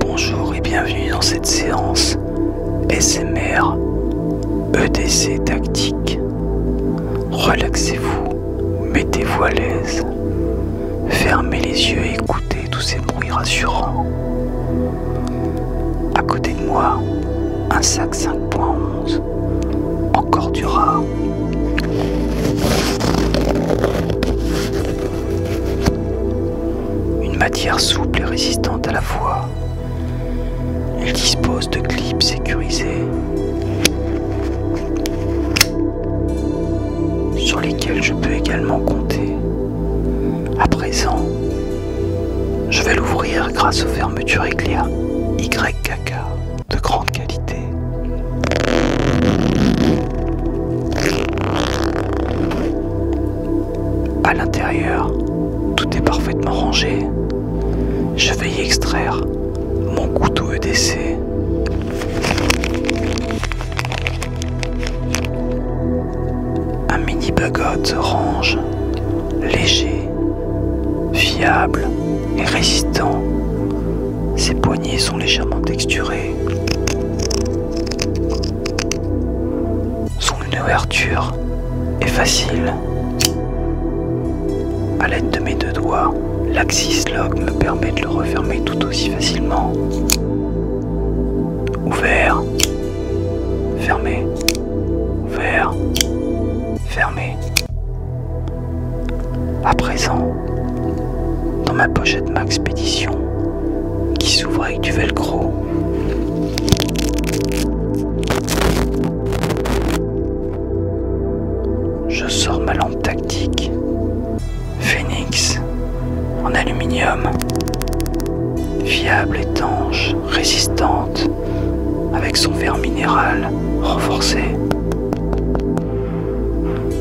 Bonjour et bienvenue dans cette séance SMR EDC tactique. Relaxez-vous, mettez-vous à l'aise, fermez les yeux et écoutez tous ces bruits rassurants. À côté de moi, un sac 5.11 encore du rare, Une matière souple et résistante à la fois. Elle dispose de clips sécurisés sur lesquels je peux également compter. À présent, je vais l'ouvrir grâce aux fermetures éclair YKK de grande qualité. À l'intérieur, tout est parfaitement rangé. Je vais y extraire mon couteau EDC. Un mini se range léger, fiable et résistant ses poignées sont légèrement texturées. Son ouverture est facile. A l'aide de mes deux doigts, l'axis lock me permet de le refermer tout aussi facilement. Ouvert, fermé, ouvert, fermé. À présent, dans ma pochette Pédition, qui s'ouvre avec du velcro, je sors ma lampe tactique Phoenix en aluminium, fiable, étanche, résistante, avec son verre minéral renforcé.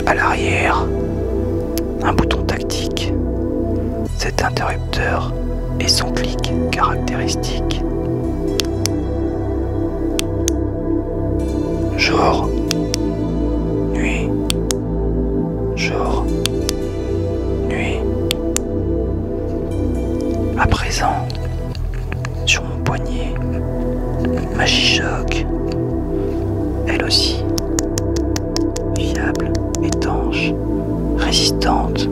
À l'arrière, un bouton tactique. Cet interrupteur et son clic caractéristique. Jour, nuit, jour, nuit. À présent, sur mon poignet, ma chichoc, elle aussi, fiable, étanche, résistante.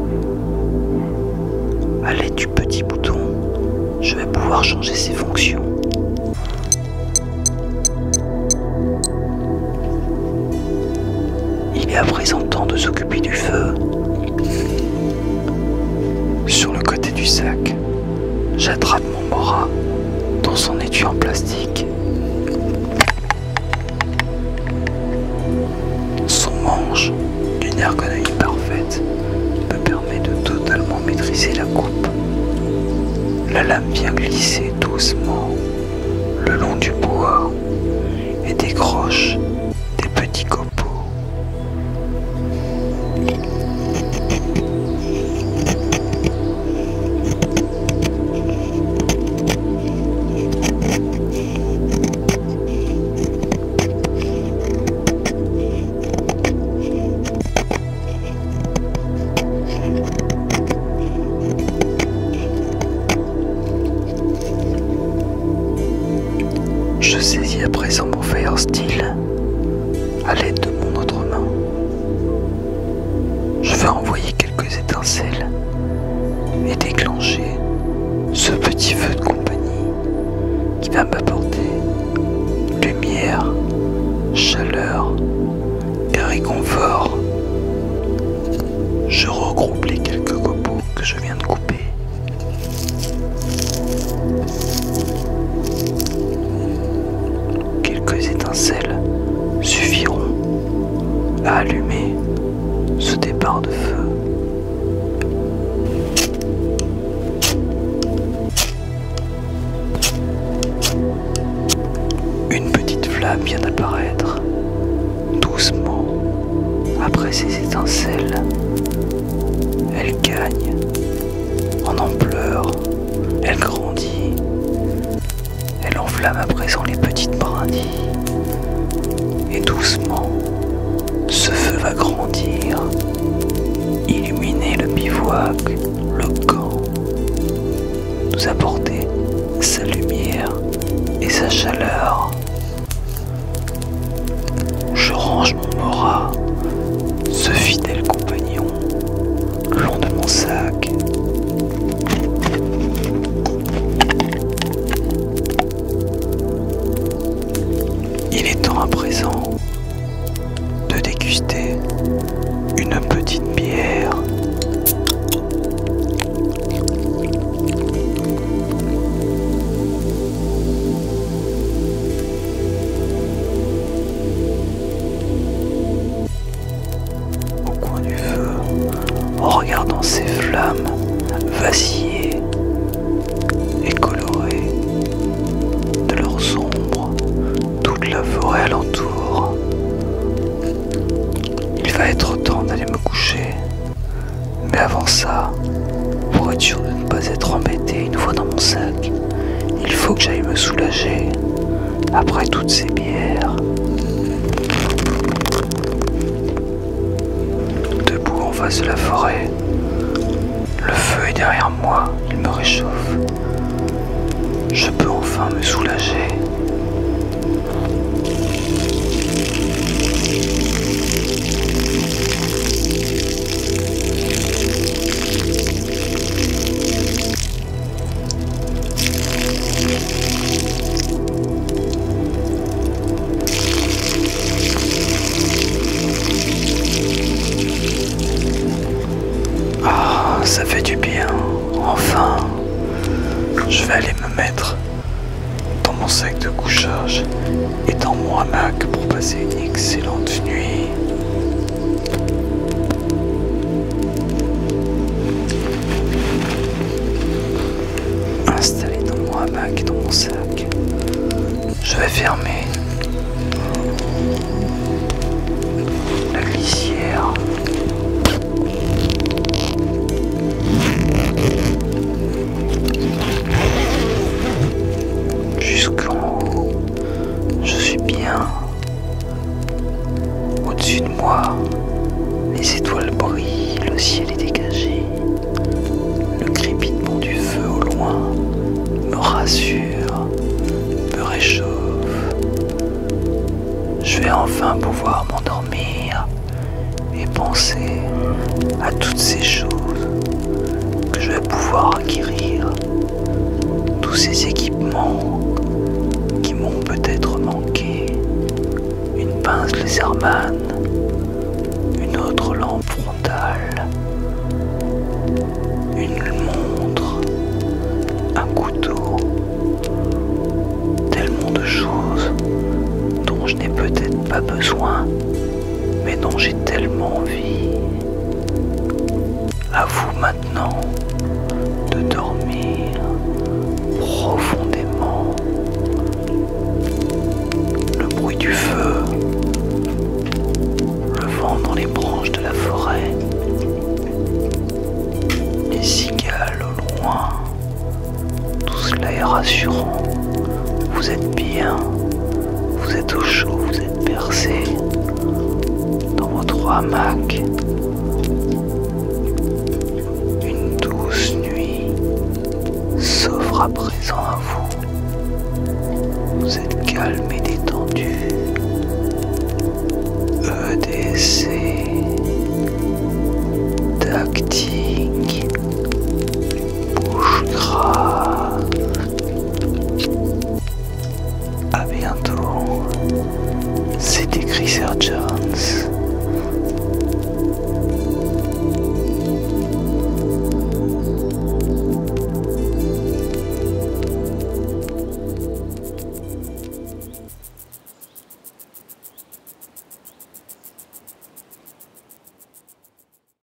À l'aide du petit bouton, je vais pouvoir changer ses fonctions. Il est à présent temps de s'occuper du feu sur le côté du sac. J'attrape mon mora dans son étui en plastique. Son manche, d'une ergonomie parfaite, me permet de totalement maîtriser la coupe. La lame vient glisser doucement le long du bois et décroche des petits copains je saisis à présent mon feuille en style à l'aide de mon autre main. Je vais envoyer quelques étincelles et déclencher ce petit feu de compagnie qui va m'apporter lumière, chaleur et réconfort. Je regroupe les quelques copeaux que je viens de couper Quelques étincelles suffiront à allumer ce départ de feu. Une petite flamme vient d'apparaître, doucement, après ces étincelles. Elle gagne en ampleur. Elle grandit. Elle enflamme à présent les petites brindilles. Et doucement, ce feu va grandir, illuminer le bivouac, le camp, nous apporter sa lumière et sa chaleur. Je range mon mora, ce fidèle compagnon, le de mon sac. Il est temps à présent de déguster une petite bière. Au coin du feu, en regardant ces flammes vaciller et colorer de leurs ombres toute la forêt alentour. Il va être temps d'aller me coucher, mais avant ça, pour être sûr de ne pas être embêté une fois dans mon sac, il faut que j'aille me soulager après toutes ces bières. Debout en face de la forêt, le feu est derrière moi, il me réchauffe. Je peux enfin me soulager. Ah, ça fait du bien. Enfin, je vais aller me mettre dans mon sac de couchage et dans mon hamac pour passer une excellente nuit. Installé dans mon hamac et dans mon sac, je vais fermer la glissière jusqu'en haut je suis bien au-dessus de moi. Les étoiles brillent, le ciel est dégagé. Le crépitement du feu au loin me rassure, me réchauffe. Je vais enfin pouvoir m'endormir et penser à toutes ces choses que je vais pouvoir acquérir tous ces équipements qui m'ont peut-être manqué. Une pince Lézerman, une autre lampe frontale, une montre, un couteau, tellement de choses dont je n'ai peut-être pas besoin, mais dont j'ai tellement envie. À vous maintenant de dormir profondément. Le bruit du feu, le vent dans les branches de la forêt, les cigales au loin, tout cela est rassurant. Vous êtes bien, vous êtes au chaud, vous êtes vos dans votre hamac. Une douce nuit s'offre à présent à vous. Vous êtes calme et détendu. EDC. Tactique bouche gras. A bientôt, c'était Chris Jones.